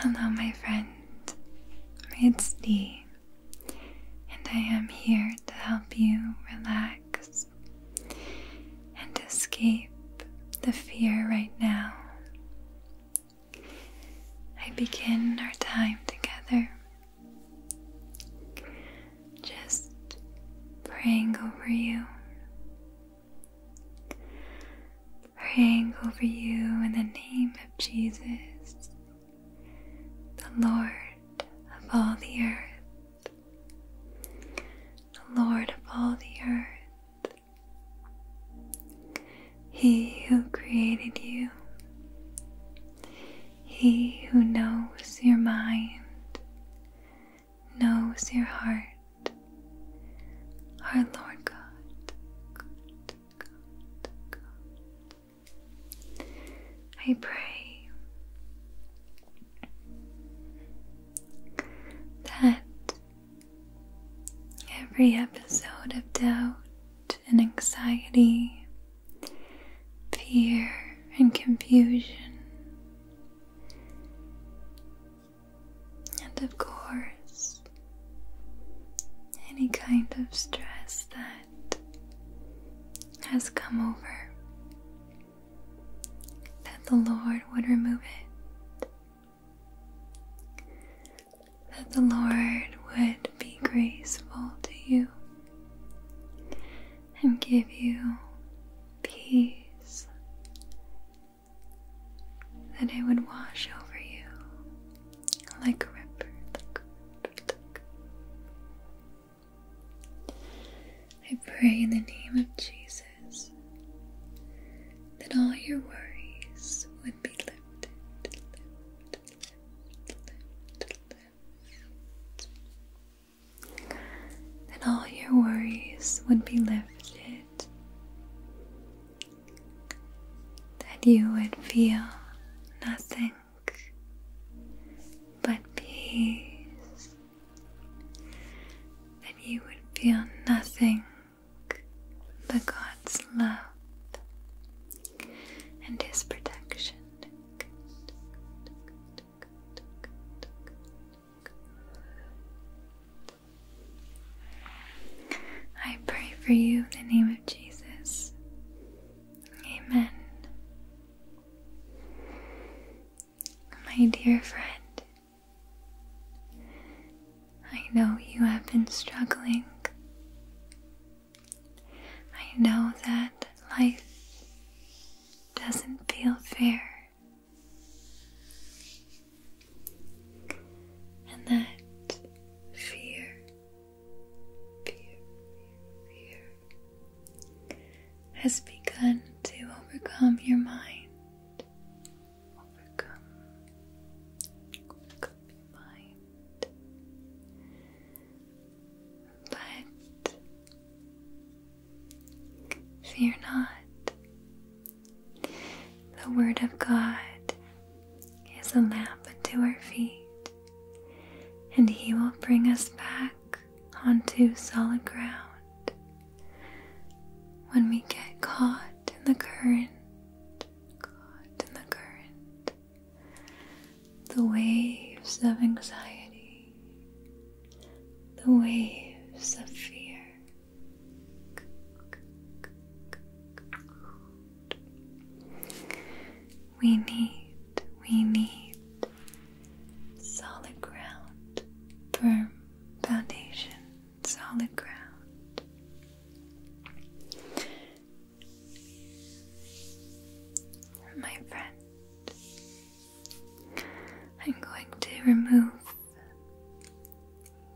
Hello, my friend. It's Dee, and I am here to help you relax and escape the fear right now. I begin our time together just praying over you. Praying over you in the name of Jesus, the Lord of all the earth, the Lord of all the earth, He who created you, he who knows your mind knows your heart. Our Lord God, I pray that every episode of doubt and anxiety, fear and confusion, and of course, any kind of stress that has come over, that the Lord would remove it. That the Lord would be graceful to you and give you peace, that it would wash over you like a river, I pray in the name of Jesus that all your worries would be lifted. Then all your worries would be lifted. That you would feel nothing but peace. That you would feel nothing but God's love and his protection. I pray for you in the name of Jesus. Amen. My dear friend, I know you have been struggling I know that life doesn't feel fair, and that fear, fear, fear, has begun to overcome your mind. overcome your mind but fear not. The Word of God is a lamp unto our feet, and He will bring us back onto solid ground. When we get caught in the current, caught in the current, the waves of anxiety, the waves of fear. We need, we need solid ground, firm foundation, solid ground my friend, I'm going to remove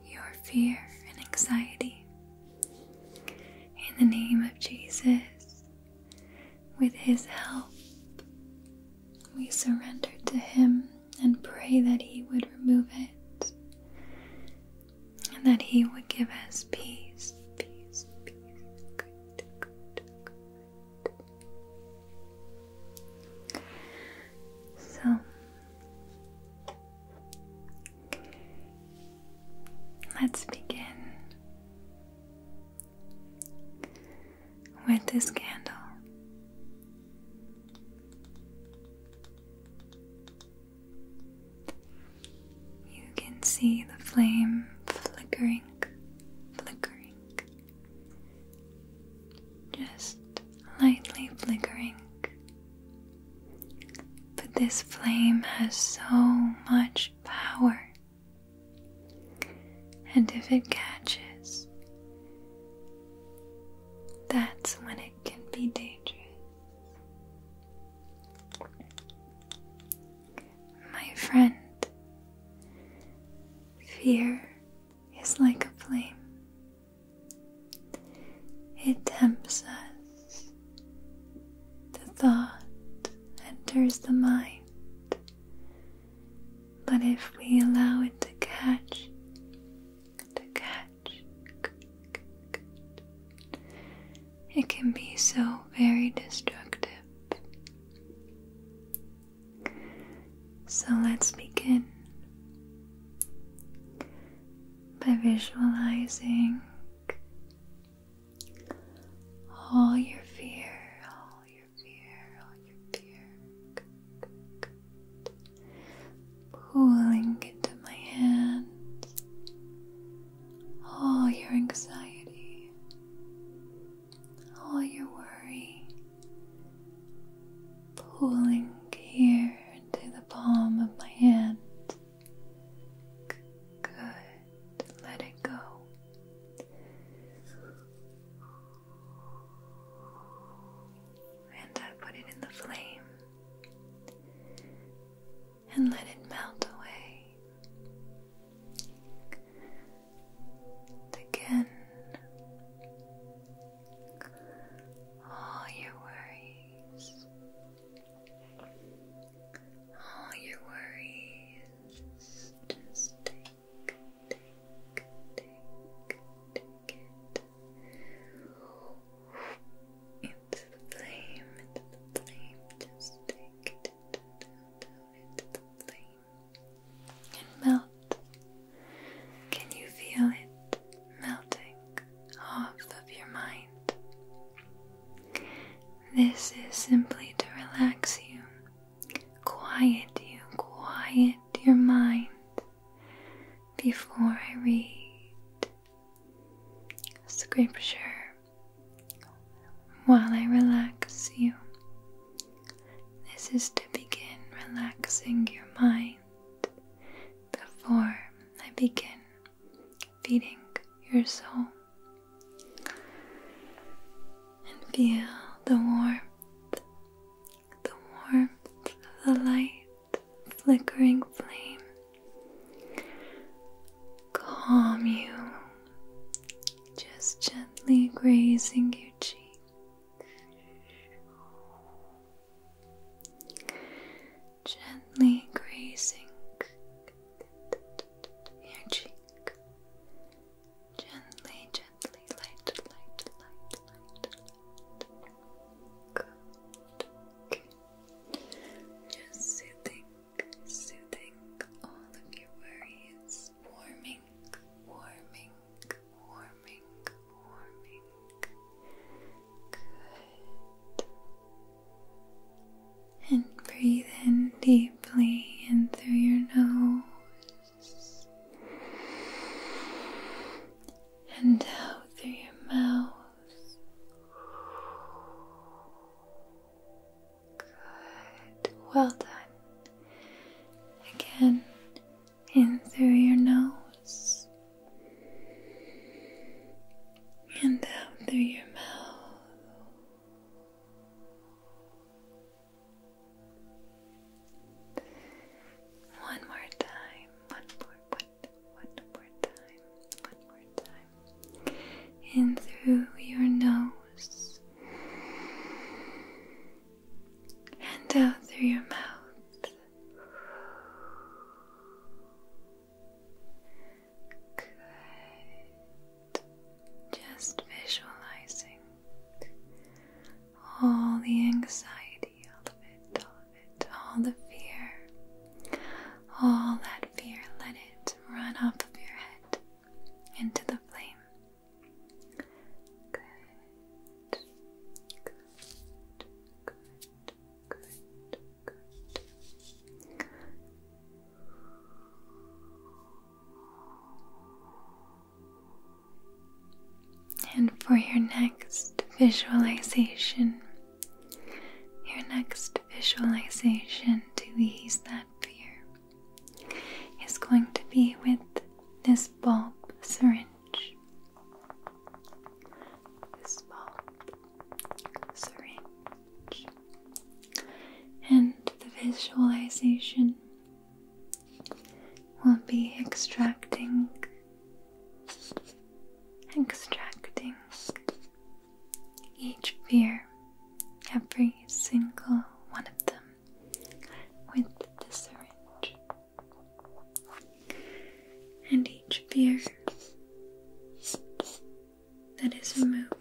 your fear and anxiety in the name of Jesus. With His help, we surrendered to Him and pray that He would remove it and that He would give us peace, peace, peace, so, let's begin with this candle. You can see the flame flickering, flickering, just lightly flickering. But this flame has so much power, and if it catches, that's when it can be dangerous my friend. Fear is like a flame, it tempts us. The thought enters the mind, but if we allow it to catch, to catch, it can be so very destructive. So let's begin by visualizing all your fear, all your fear, all your fear. Pulling into my hands all your anxiety, all your worry, pulling here into the palm of my hand. Good, let it go. And I put it in the flame and let it melt away. again, all your worries, all your worries, just take, take, take, take it. Into the flame, into the flame, just take and melt. Can you feel it melting off of your mind? This is simply to relax you, quiet you, quiet your mind before I read scripture while I relax you. This is to begin relaxing your mind before I begin feeding your soul. And feel the warmth, the warmth of the light flickering flame calm you, just gently grazing your cheek. Gently grazing your cheek. Gently, gently, light, light, light, Just soothing soothing all of your worries, warming, warming, warming, warming. Good. And breathe in deeply in through your nose and out through your mouth. Good. Well done. Again, in through your nose and out through your mouth. One more time. One more, one, more time. One more time in through your nose and out through your mouth. Good. Just visualizing all the anxiety, all of it, all of it, all the fear, all that fear, let it run off of your head into the flame. Good, good, good, good, good. And for your next visualization, your next visualization to ease that fear is going to be with this bulb syringe. This bulb syringe. And the visualization will be extracting, extracting each fear, every single one of them, with the syringe. And each fear that is removed,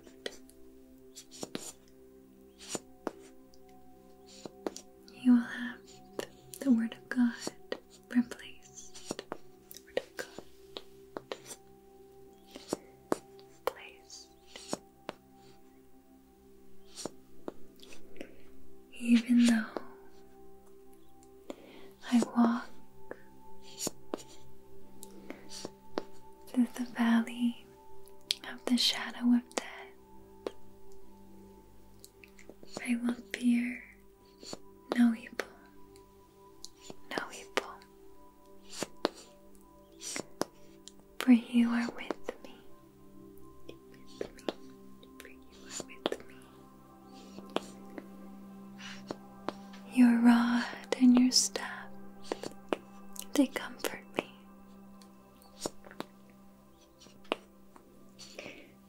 you will have the Word of God replaced. Even though I walk through the valley of the shadow of death, I will fear no evil, no evil, for you are with me. Your rod and your staff, they comfort me.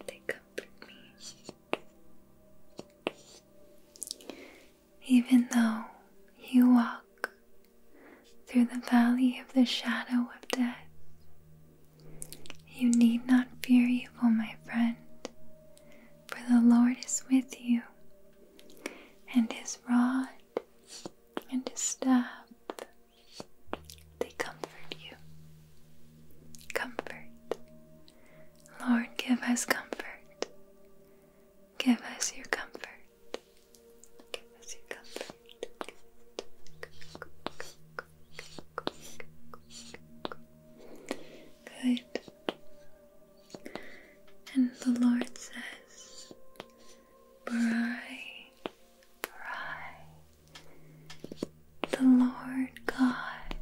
They comfort me even though you walk through the valley of the shadow of death. You need not fear evil, my friend, for the Lord is with you, and his rod and his staff, they comfort you. Comfort. Lord, give us comfort. Give us your comfort. Good. And the Lord says, Bri, Bri, the Lord God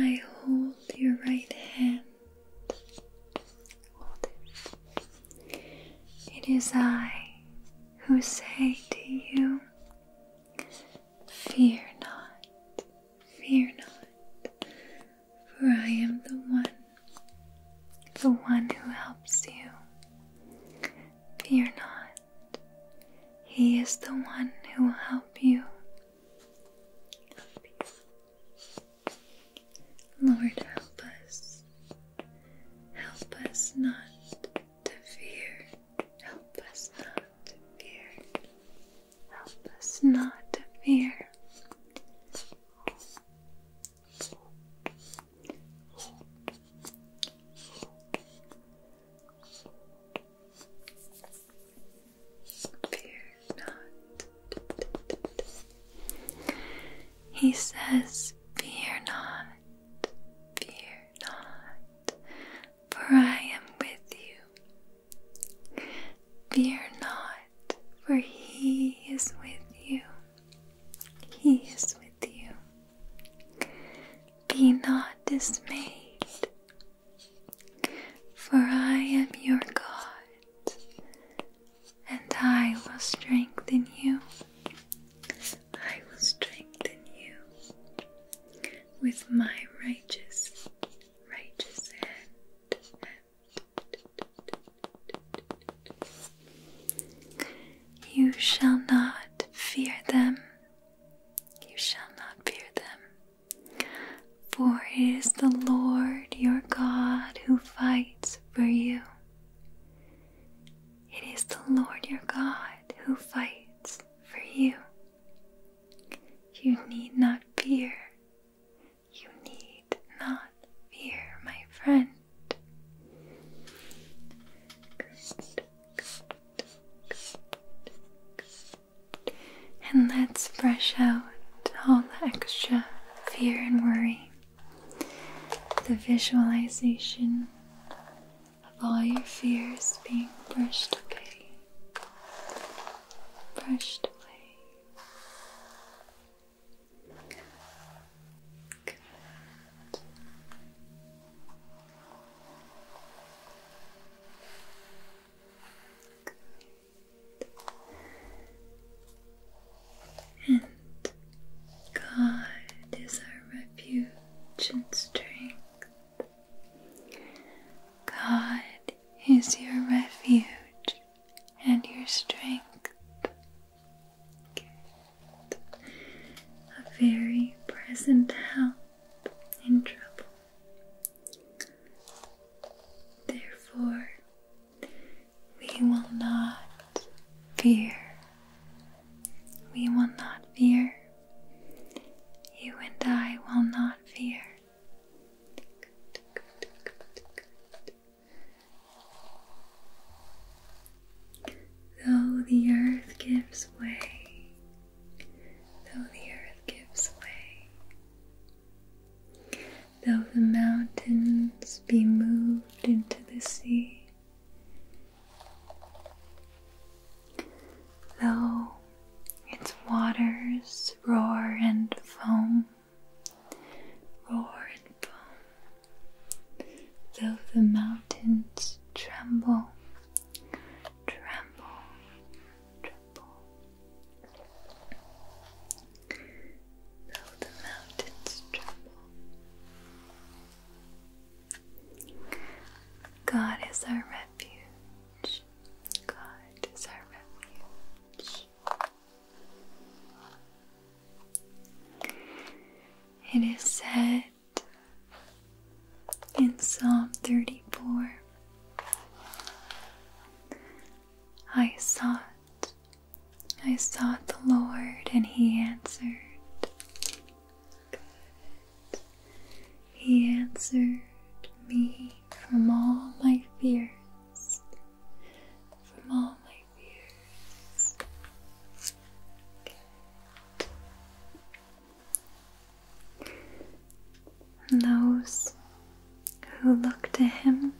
I hold your right hand. It is I who say to you, Fear not, fear not, for I am the one, the one who helps you. Fear not. He is the one who will help you. Lord, help us. Help us not to fear. Help us not to fear. Help us not to fear. Fear not. He says, Fear not, fear not, for I am with you. Fear not, for He is with you. He is with you. Be not dismayed, for I am your God, and I will strengthen you. I will strengthen you with my righteous, righteous hand. You shall not fear them, you shall not fear them. For it is the Lord your God who fights for you. It is the Lord your God who fights for you. You need not fear. You need not fear, my friend. And let's brush out all the extra fear and worry. The visualization of all your fears being brushed away, brushed away. Good. And God is our refuge and strength. God is your refuge and your strength. A very present help and trouble. Therefore, we will not fear. We will not fear. You and I will not fear. Though the earth gives way though the earth gives way, though the mountains be moved into the sea, though its waters roar and foam, roar and foam, though the mountains tremble tremble, tremble. Though the mountains tremble, God is our refuge. God is our refuge. It is said in Psalm 34. I sought, I sought the Lord, and He answered. He answered me from all my fears, from all my fears. And those who look to Him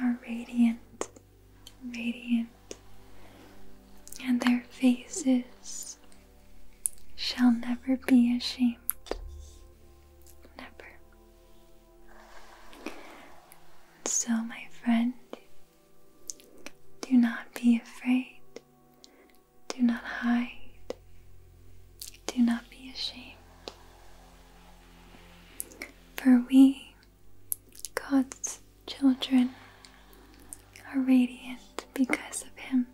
are radiant, radiant, and their faces shall never be ashamed. Never. So, my friend, do not be afraid do not hide. Do not be ashamed. For we, God's children, are radiant because of Him.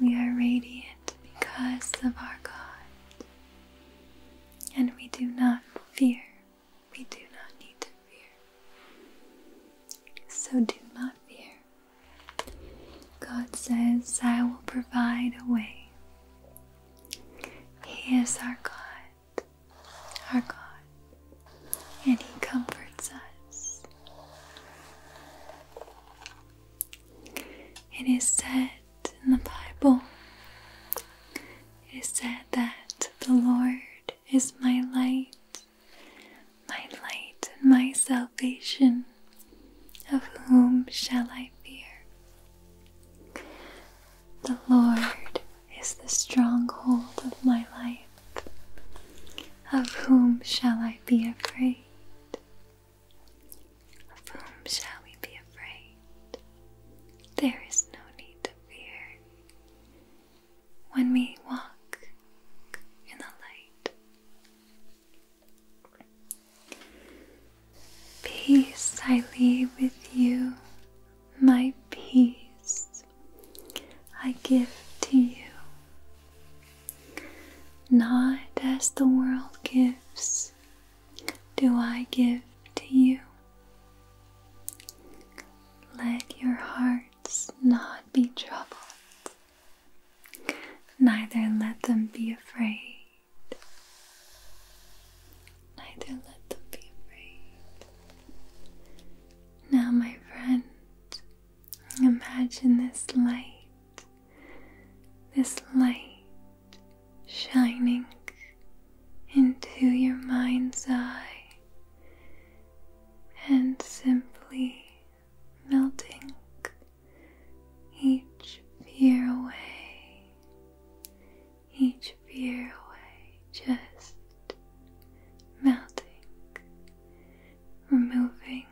We are radiant because of our God, and we do not fear. We do not need to fear. So do not fear. God says, I will provide a way. He is our God, our God, and He comforts us. It is said in the Bible, it is said that the Lord is my light, my light and my salvation. Of whom shall I fear? The Lord is the stronghold of my life. Of whom shall I be afraid? Of whom shall we be afraid? There is no need to fear when we walk in the light. Peace I leave with you, my peace I give to you. Not as the world gives, do I give to you. Let your heart hearts not be troubled, neither let them be afraid. Neither let them be afraid. Now, my friend, imagine this light, this light shining into your mind's eye and simply melting each fear away, each fear away, just melting, removing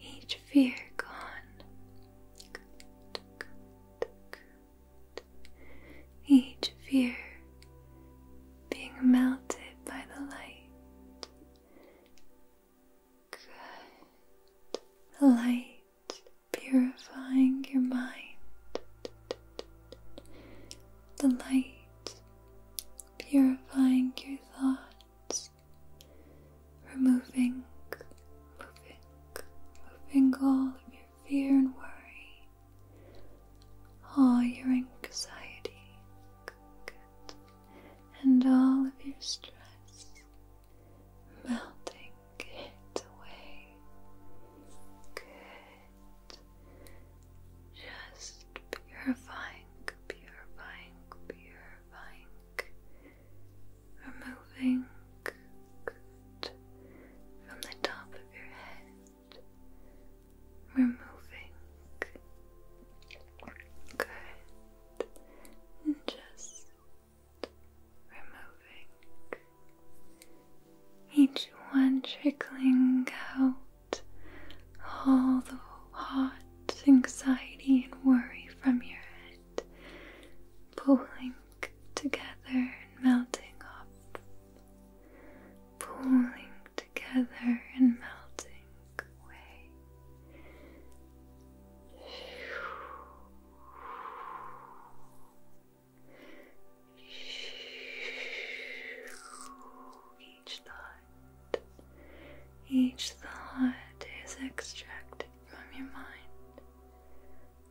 each fear gone each fear being melted by the light. The light purifying your mind. The light purifying your thoughts. Removing, moving, moving all of your your fear and worry, all your anxiety, and all of your stress melting it away. Good. Just purifying, purifying, purifying, removing from the top of your head removing. Good. And just removing. Each one trickling out all the hot anxiety and worry from your head, pulling together and melting up pooling together and melting away. Each thought, each thought is extracted from your mind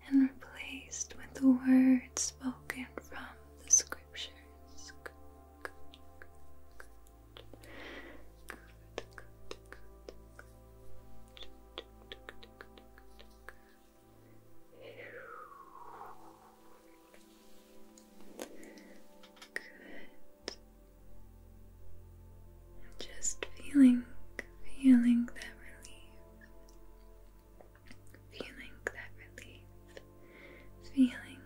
and replaced with the words spoken from the script scriptures. Good, good, Just feeling, feeling that relief feeling that relief, feeling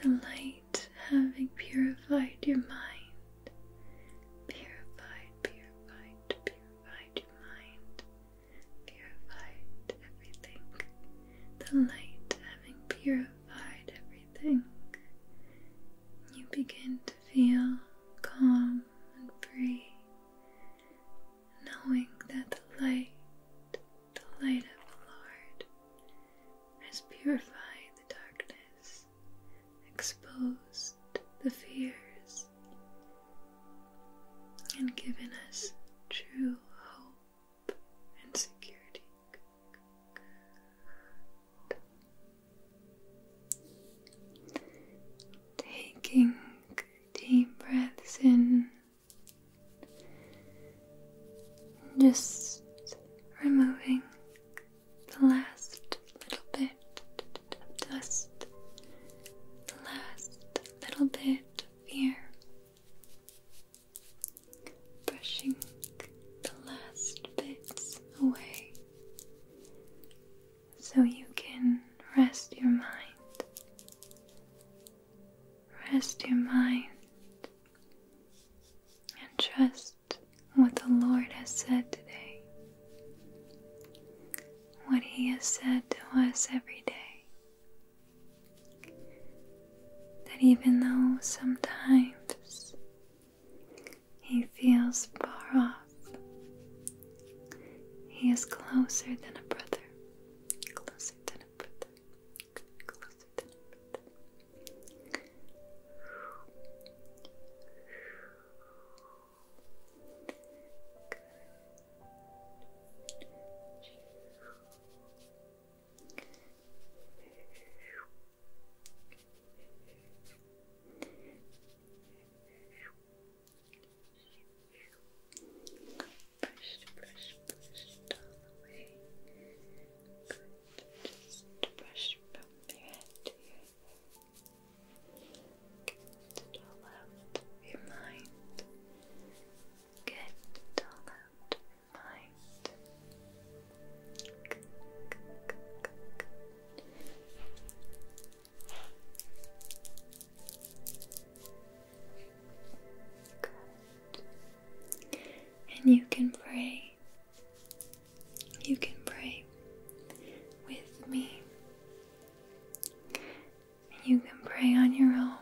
the light having purified your mind, purified, purified, purified your mind, purified everything, the light having purified everything. You begin to feel calm and free, knowing that the light, the light of the Lord, has purified the darkness, exposed the fears, and given us true hope and security. Taking deep breaths in. Just removing the last little bit of dust, the last little bit of fear, brushing the last bits away, so you can rest your mind. Rest your mind and trust what the Lord has said today, what He has said to us every day. That even though sometimes He feels far off, He is closer than a brother. Closer than a brother. Closer than Brush, brush, brush it all away. Good. from your head Get it all out of your mind. Get it all out of your mind. And you can pray. You can pray with me. And you can pray on your own.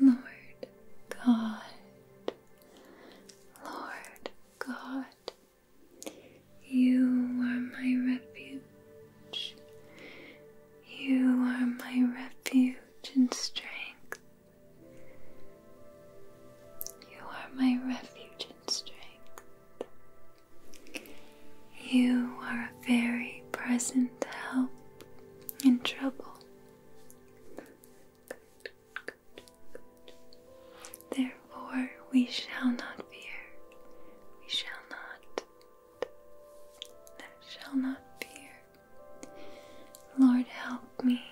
Lord God, Lord God, you are my refuge. You are my refuge and strength. You are my refuge and strength. You are a very present help in trouble. Therefore, we shall not fear, we shall not I shall not fear. Lord, help me.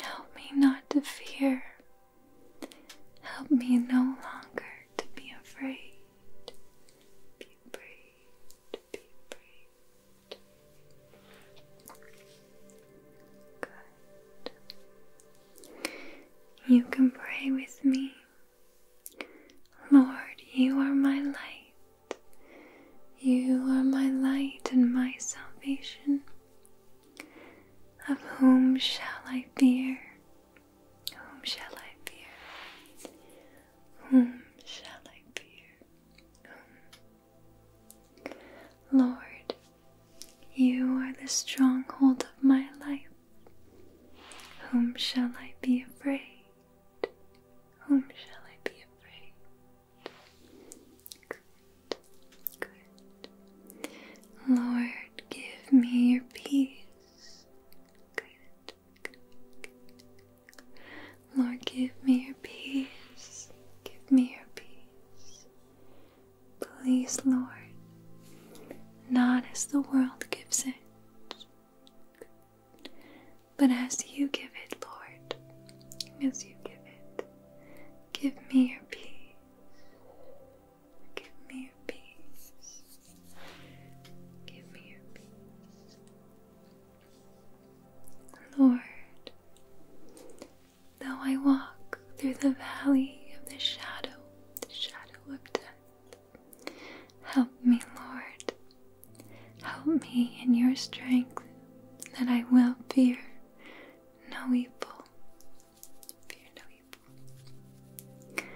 Help me not to fear. Help me no longer to be afraid. Be afraid. Be afraid. Good. You can pray with me. Lord, you are my light. You are my light and my salvation. Of whom shall I fear? Whom shall I fear? Whom shall I fear? Lord, you are the stronghold of my life. Whom shall I be afraid? Whom shall I be afraid? Lord, give me your peace. Lord, give me your peace. Give me your peace. Please, Lord, not as the world gives it, but as you give it, Lord, as you give it, give me your peace. Give me your peace. Give me your peace. Lord, though I walk through the valley of the shadow, the shadow of death, Help me, Lord. Help me in your strength that I will fear no evil. Fear no evil.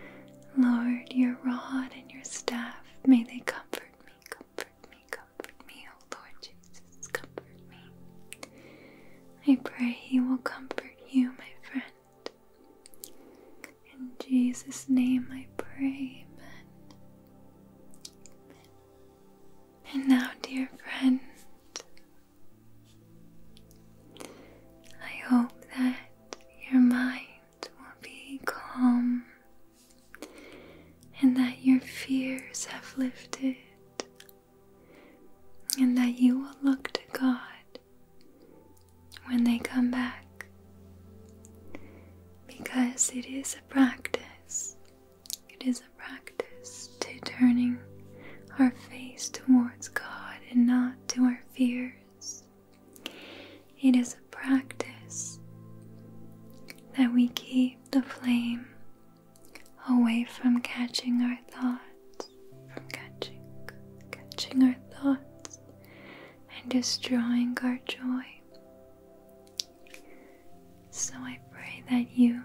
Lord, your rod and your staff, may they comfort me, comfort me, comfort me, O Lord Jesus, comfort me. I pray He will comfort you, my friend. In Jesus' name I pray, And now, dear friend, I hope that your mind will be calm and that your fears have lifted and that you will look to God when they come back because it is a practice. It is a practice to turning our face towards God and not to our fears. It is a practice that we keep the flame away from catching our thoughts, from catching, catching our thoughts and destroying our joy. So I pray that you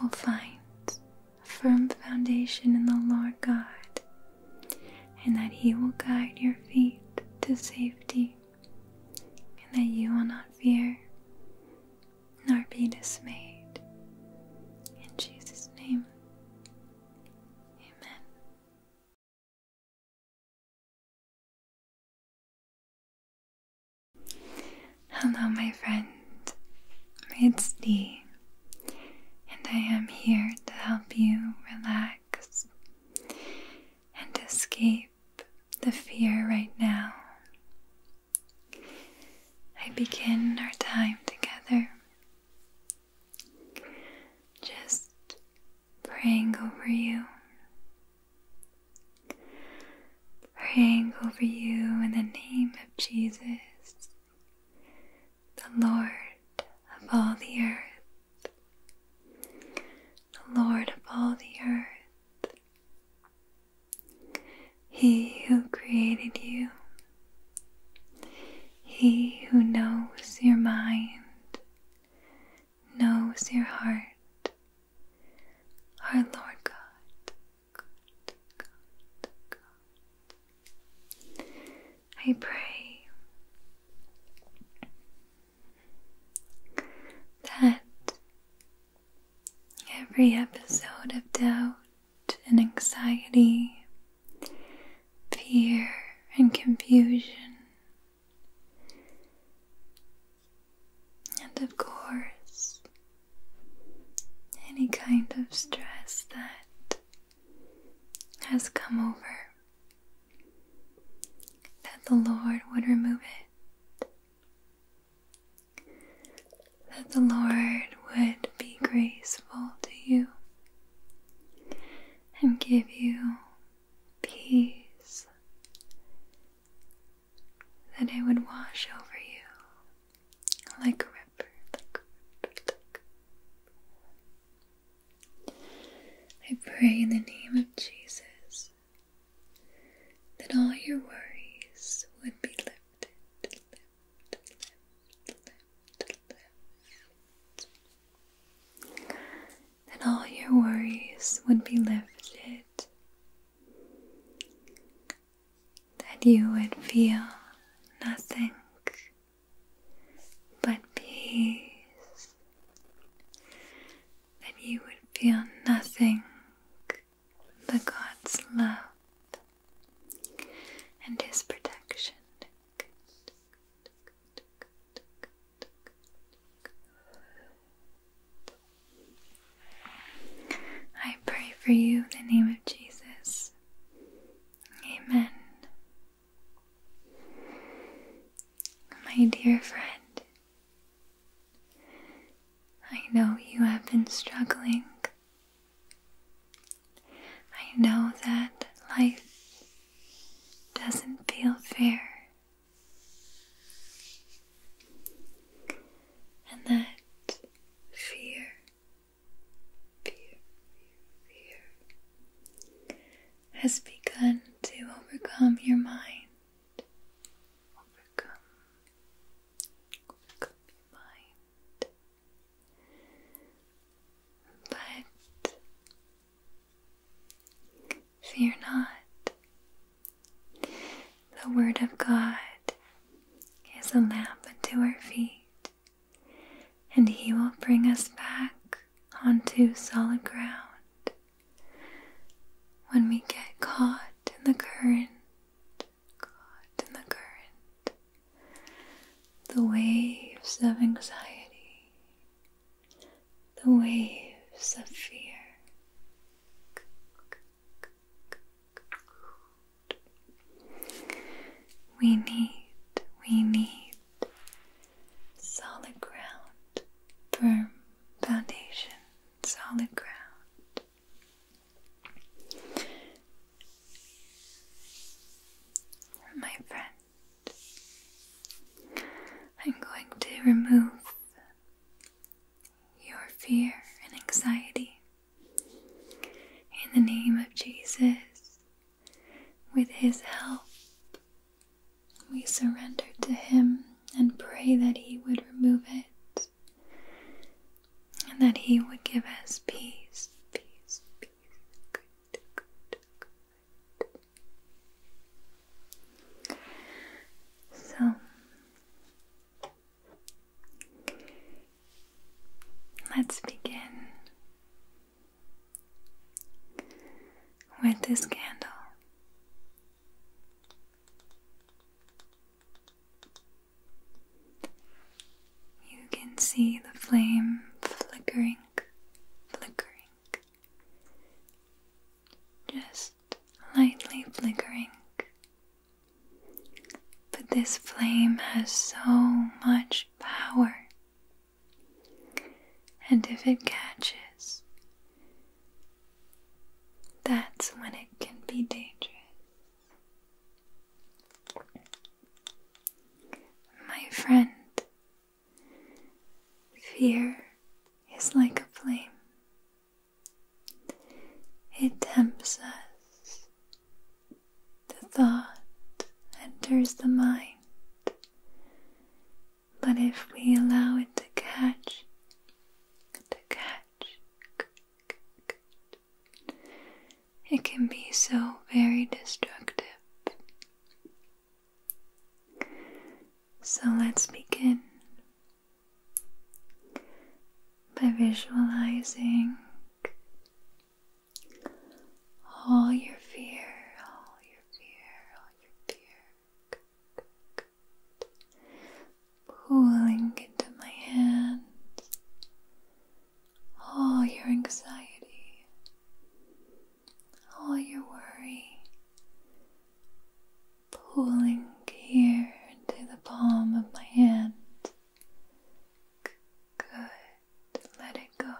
will find a firm foundation in the Lord God and that He will guide your feet to safety and that you will not fear nor be dismayed. In Jesus' name, Amen. Hello, my friend. It's Dee, and I am here to help you relax and escape the fear right now. I begin our time together just praying over you, praying over you in the name of Jesus, the Lord of all the earth, the Lord of all the earth, He who created you he who knows your mind knows your heart. Our Lord God, I pray that every episode of doubt and anxiety, fear and confusion, and of course, any kind of stress that has come over, that the Lord would remove it, that the Lord would be graceful to you and give you peace that it would wash over you like a river, like a river, I pray in the name of Jesus that all your worries would be lifted, left, Then all your worries would be lifted. That you would feel nothing but peace. That you would feel nothing but God's love and his protection. I pray for you in the name of Jesus. Amen. My dear friend, I know you have been struggling I know that life doesn't feel fair, and that fear, fear, fear, has begun to overcome your mind. Overcome, overcome your mind. But fear not. The Word of God is a lamp unto our feet, and He will bring us back onto solid ground when we get caught in the current, caught in the current the waves of anxiety, the waves of fear. We need, we need solid ground, firm foundation, solid ground. My friend, I'm going to remove your fear and anxiety in the name of Jesus. With His help, we surrender to Him and pray that He would remove it and that He would give us peace, peace, peace, so let's begin with this candle. You can see the flame flickering, flickering, just lightly flickering. But this flame has so much power, and if it catches, that's when it can be dangerous. My friend, fear is like a flame. It tempts us. The thought enters the mind. But if we allow it to catch, to catch, it can be so very destructive. So let's begin by visualizing all your fear, all your fear, all your fear. Pulling into my hands, all your anxiety, all your worry, pulling here into the palm of my hand. Good, let it go.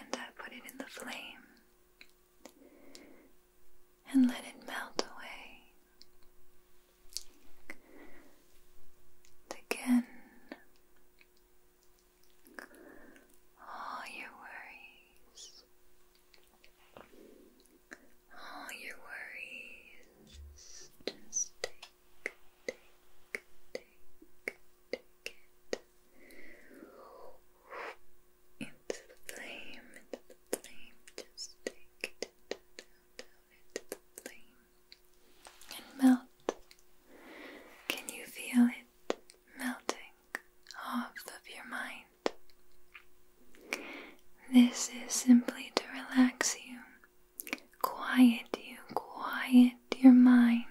And I put it in the flame and let it melt away. again, all your worries, all your worries, just take, take, take, take it. Into the flame, into the flame, just take and melt. Can you feel it melting off of your mind? This is simply to relax you, quiet you, quiet your mind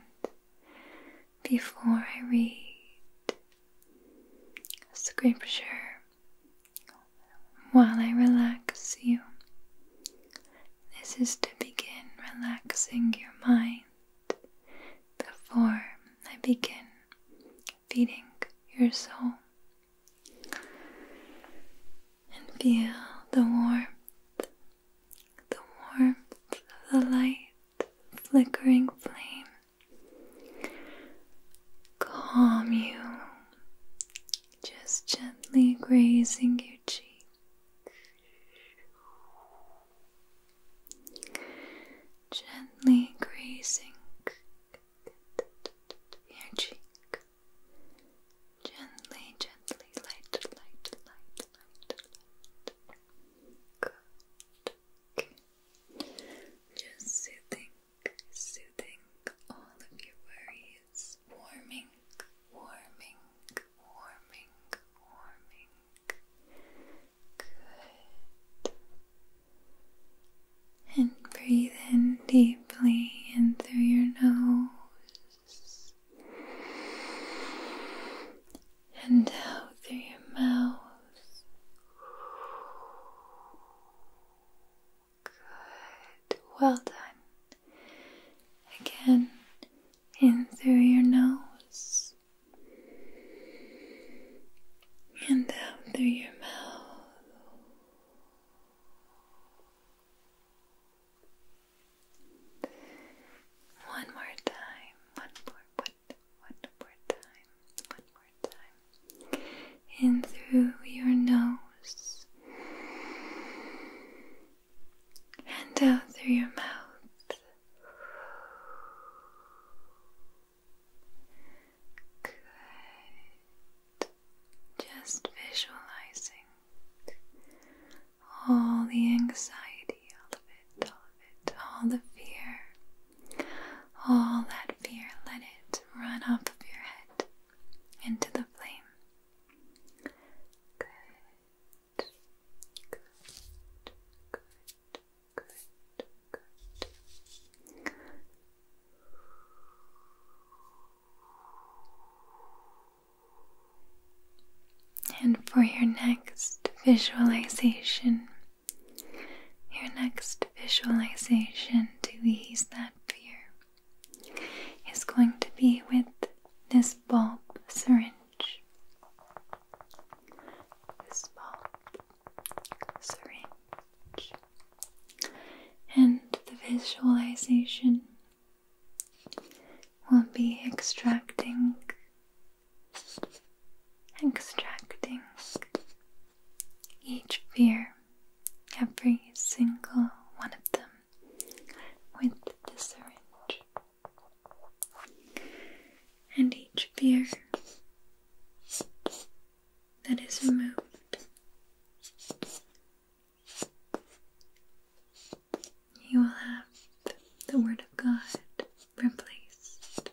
before I read It's a great scripture while I relax you. This is to begin relaxing your mind before I begin feeding your soul. And feel the warmth, the warmth of the light, flickering flame calm you just gently grazing your cheek. Gently grazing your cheek. Gently, gently, light, light, light, light, Just sitting soothing all of your worries, warming, warming, warming, warming. Good. And breathe in deeply in through your nose and out through your mouth. Good. Well done. Again, in through your nose and out through your mouth. One more time. One more. One, one more time. One more In through your nose and out through your mouth. Good. Just visualizing all the anxiety, all of it, all of it, all the fear, all that fear, let it run off of your head into the flame. Good, good, good, good, good. And for your next visualization, your next visualization to ease that fear is going to be with this bulb syringe. This bulb syringe. And the visualization will be extracting, extracting each fear every single one of them with the syringe. And each beer that is removed, you will have the Word of God replaced.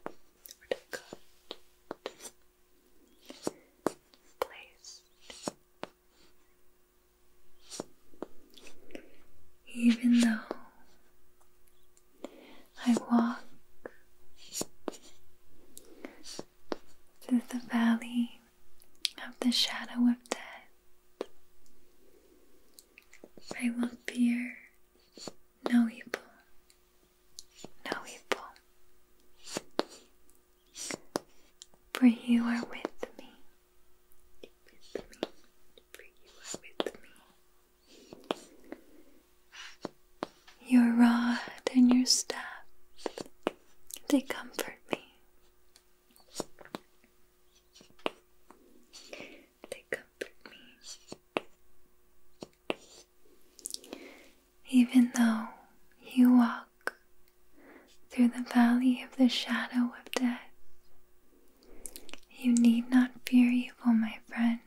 Even though I walk through the valley of the shadow of death, I will fear no evil, no evil. For you are with me. With me. For you are with me. Your rod and your staff, they comfort me. They comfort me even though you walk through the valley of the shadow of death. You need not fear evil, my friend,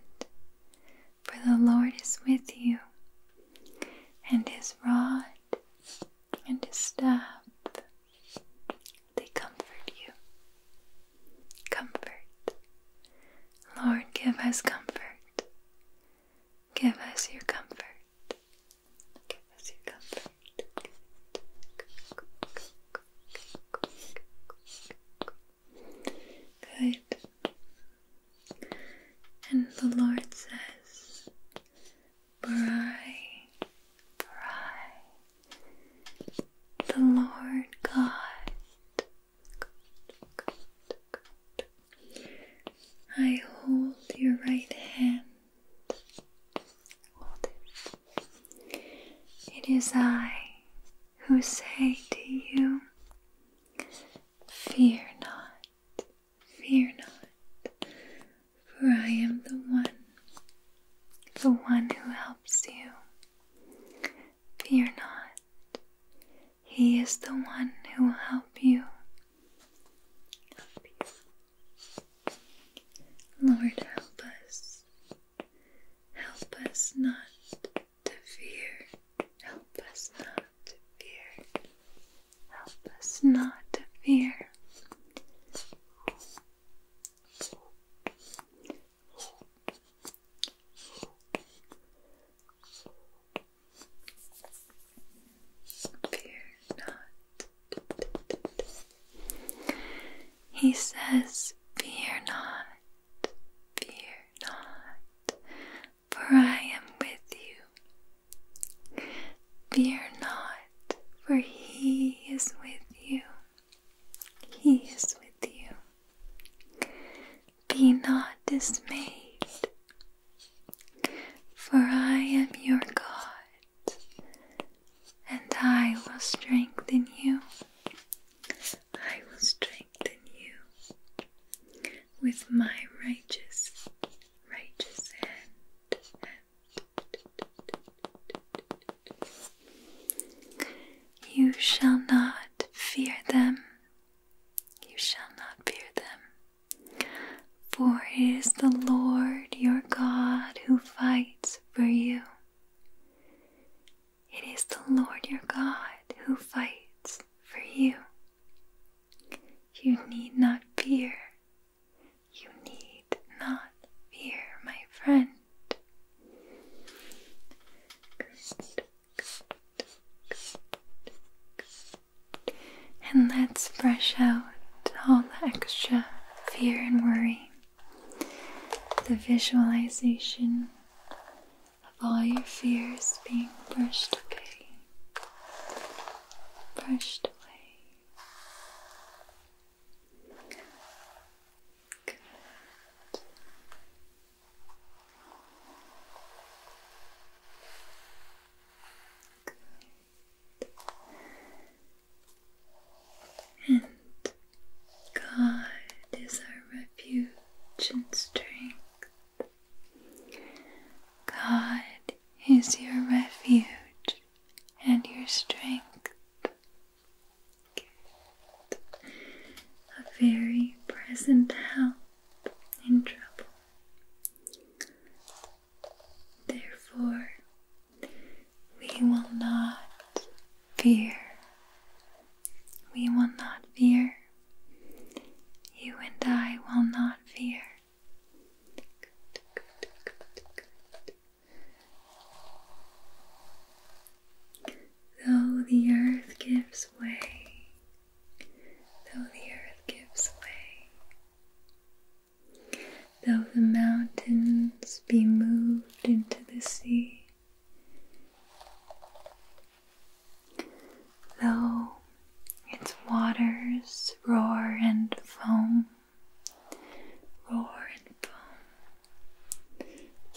for the Lord is with you, and his rod and his staff, they comfort you. Comfort. Lord, give us comfort. Give us your comfort. Give us your comfort. Good. And the Lord says, Bri, Bri, the Lord God I hold your right hand. It is I who say to you, Fear not, fear not, for I am the one, the one who helps you. Fear not, he is the one who will help you. Help Lord, help us. Help us not to fear. Help us not to fear. Help us not to fear. Fear not. He says, Fear not, fear not, for I am with you. Fear not, for He is with you. He is with you. Be not dismayed, for I am your God, and I will strengthen you. I will strengthen you with my righteous, righteous hand. hand. You shall not fear them you shall not fear them, for it is the Lord your God who fights for you. It is the Lord your God who fights for you. You need not fear. You need not fear, my friend. And let's brush out all the extra fear and worry. The visualization of all your fears being brushed away, brushed away. Good. And God is our refuge and strength. God is your refuge and your strength. A very present help in trouble. Therefore, we will not fear. We will not fear. You and I will not fear. Though the earth gives way though the earth gives way, though the mountains be moved into the sea, though its waters roar and foam, roar and foam,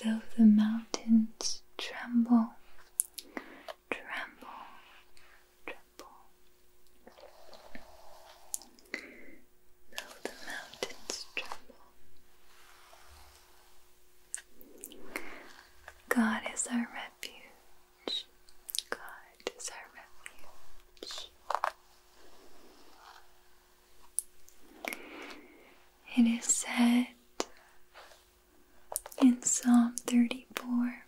though the mountains tremble tremble, tremble. Though the mountains tremble, God is our refuge. God is our refuge. It is said in Psalm 34.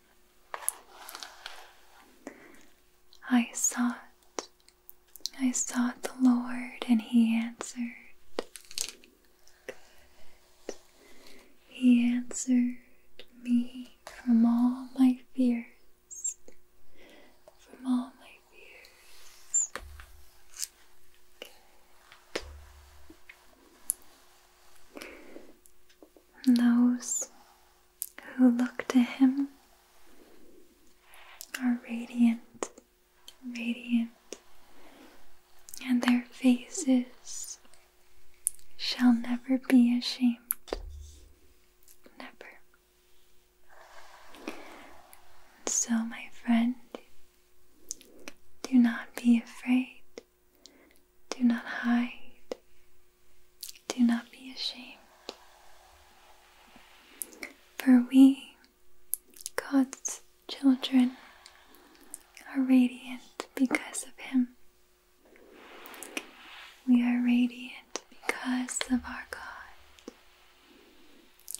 I sought, I sought the Lord, and He answered. He answered me from all my fears, from all my fears and those who look to Him are radiant, radiant, and their faces shall never be ashamed. Never. So, my friend, do not be afraid. Do not hide. Do not be ashamed. For we, God's children, are radiant because of Him. We are radiant because of our God,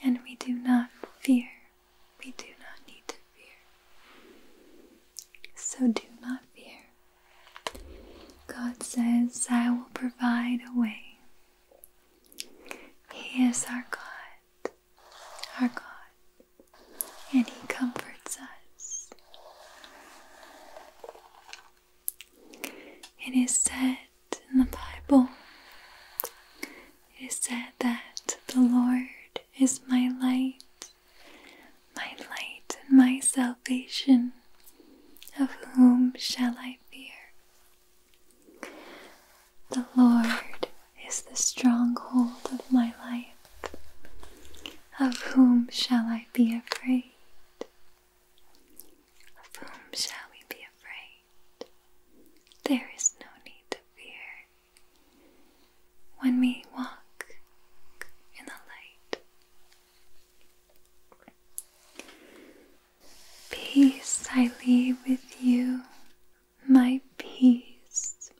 and we do not fear we do not need to fear. So do not fear. God says, I will provide a way. He is our God, our God, and He comforts us. It is said in the Bible, it is said that the Lord is my light, my light and my salvation. Of whom shall I fear? The Lord is the stronghold of my life. Of whom shall I be afraid? Of whom shall we be afraid? There is no need to fear, when we walk in the light. Peace I leave with you, my peace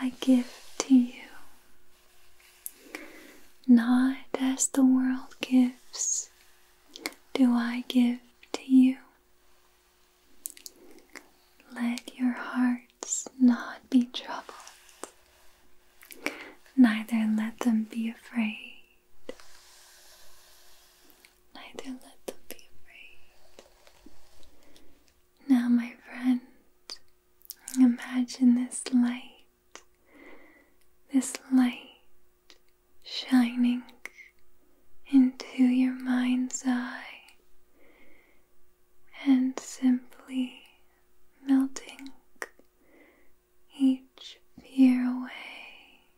I give to you. Not as the world gives, do I give to you. Let your hearts not be troubled, neither let them be afraid. Neither let them be afraid. Now, my friend, imagine this light, this light shining into your mind's eye and simply melting each fear away,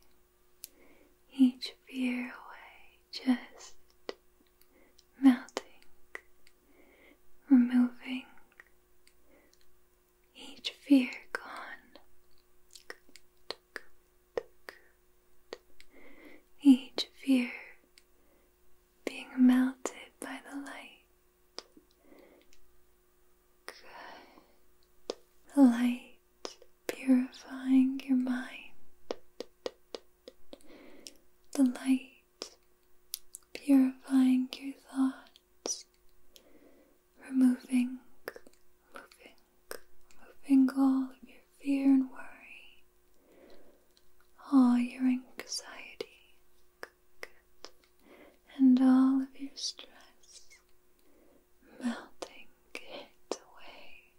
each fear away, just melting, removing each fear gone. Each fear being melted by the light. Good. The light purifying your mind. The light purifying your thoughts. Removing, moving, removing all of your fear and worry all your anxiety good, and all of your stress melting it away.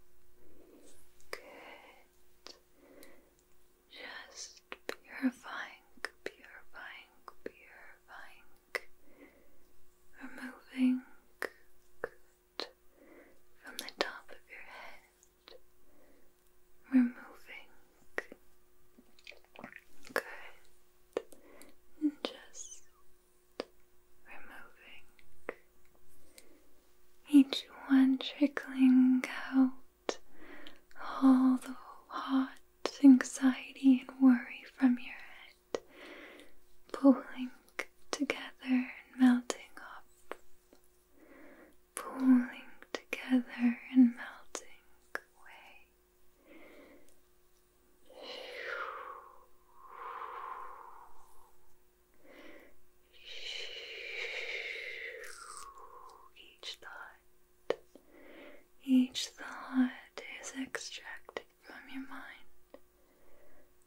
Good. Just purifying, purifying, purifying, removing good from the top of your head removing. Good. And just removing each one trickling out all the hot anxiety and worry from your head, pulling together and melting up pooling together and melting away. Each thought, each thought is extracted from your mind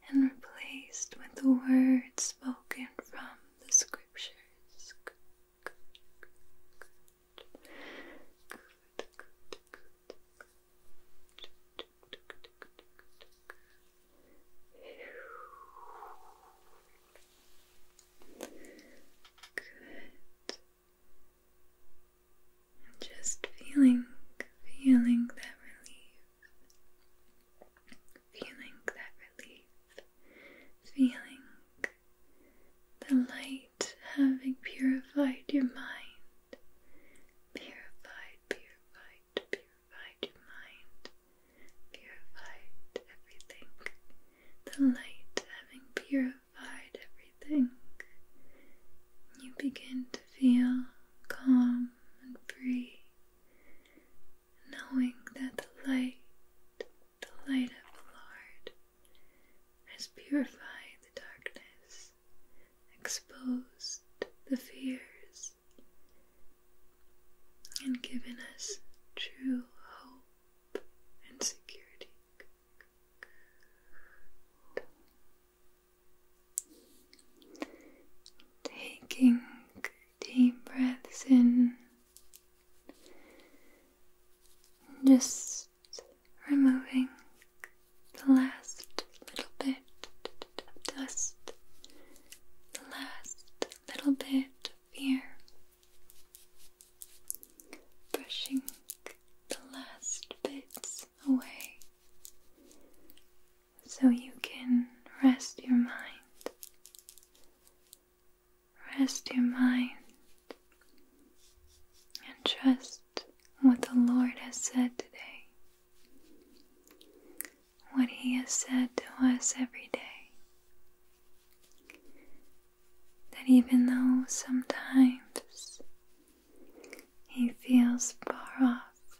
and replaced with the words spoken from the screen scriptures. Good, just feeling, feeling that relief feeling that relief, feeling the light having purified your mind, purified, purified, purified your mind, purified everything, the light having purified everything. You begin to feel calm and free, knowing that the light, the light of the Lord, has purified the darkness, exposed the fears, and given us true hope and security. Taking deep breaths in just removing the last little bit of dust, the last little bit of fear, brushing the last bits away so you can rest your mind Rest your mind and trust what the Lord has said today, what He has said to us every day. That even though sometimes He feels far off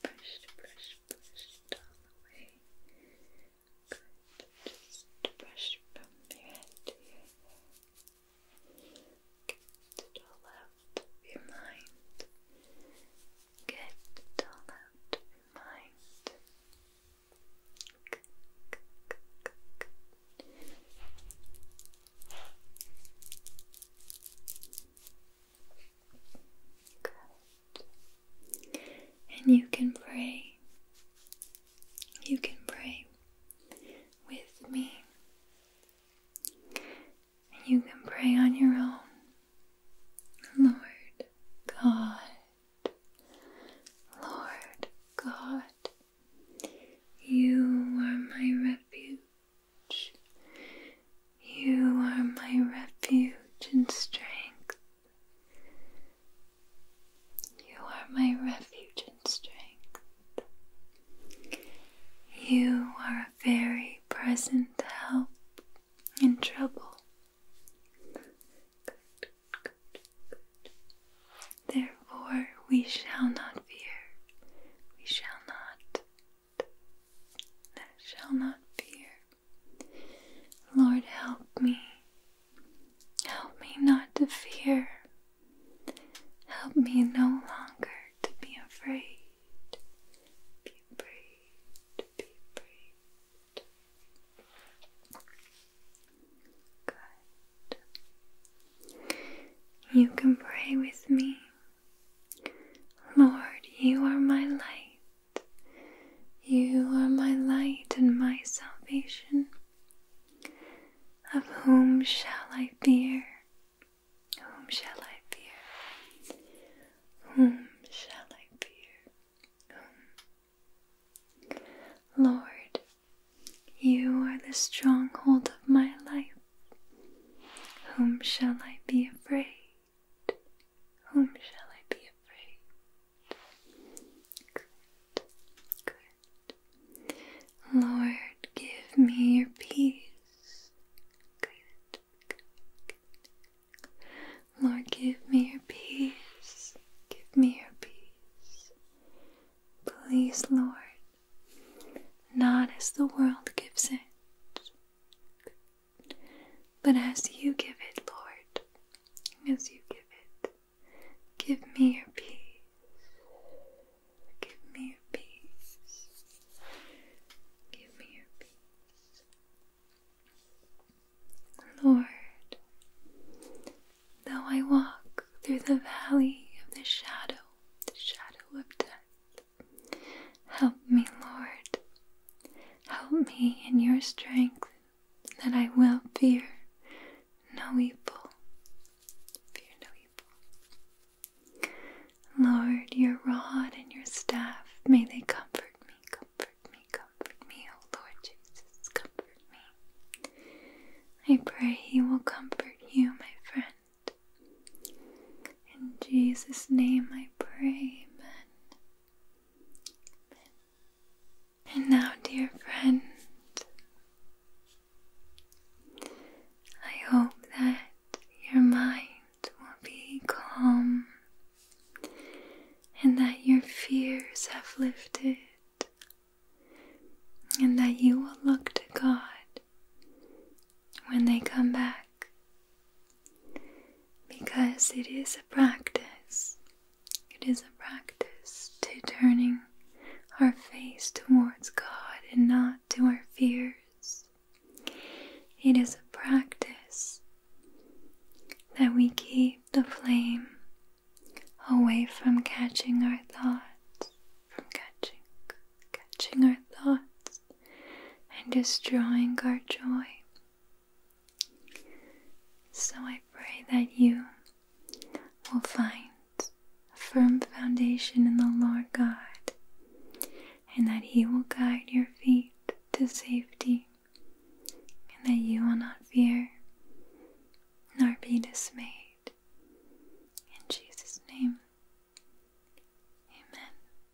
Brush, brush, brush it all away. Good. Just brush from your head Get it all out of your mind. Get it all out of your mind. And you can pray. You can pray with me. And you can pray on your own. Lord God, Lord God, you are my refuge. You are my refuge and strength. You are my refuge and strength. You are a very present help in trouble. Therefore, we shall not fear, we shall not that shall not fear. Lord, help me. Help me not to fear. Help me no longer to be afraid. Be afraid. Be afraid. Good. You can pray with me. Lord, you are my light. You are my light and my salvation. Of whom shall I fear? Whom shall I fear? Whom shall I fear? Lord, you are the stronghold of my life. Whom shall I be afraid? Whom shall I be afraid? Good, good. Lord, give me your peace. Good, good, Lord, give me your peace. Give me your peace. Please, Lord, not as the world gives it, but as you give it, Lord, as you give it. Give me your peace. Give me your peace. Give me your peace. Lord, though I walk through the valley of the shadow, the shadow of death, Help me, Lord. Help me in your strength that I will fear no evil. Fear no evil. Lord, your rod and your staff, may they comfort me, comfort me, comfort me, O Lord Jesus, comfort me. I pray He will comfort you, my friend. In Jesus' name I pray, And now, dear friend, I hope that your mind will be calm and that your fears have lifted and that you will look to God when they come back because it is a practice. It is a practice to turning our face towards God and not to our fears. It is a practice that we keep the flame away from catching our thoughts, from catching catching our thoughts and destroying our joy. So I pray that you will find a firm foundation in the Lord God and that He will guide your feet to safety and that you will not fear nor be dismayed. In Jesus' name, amen.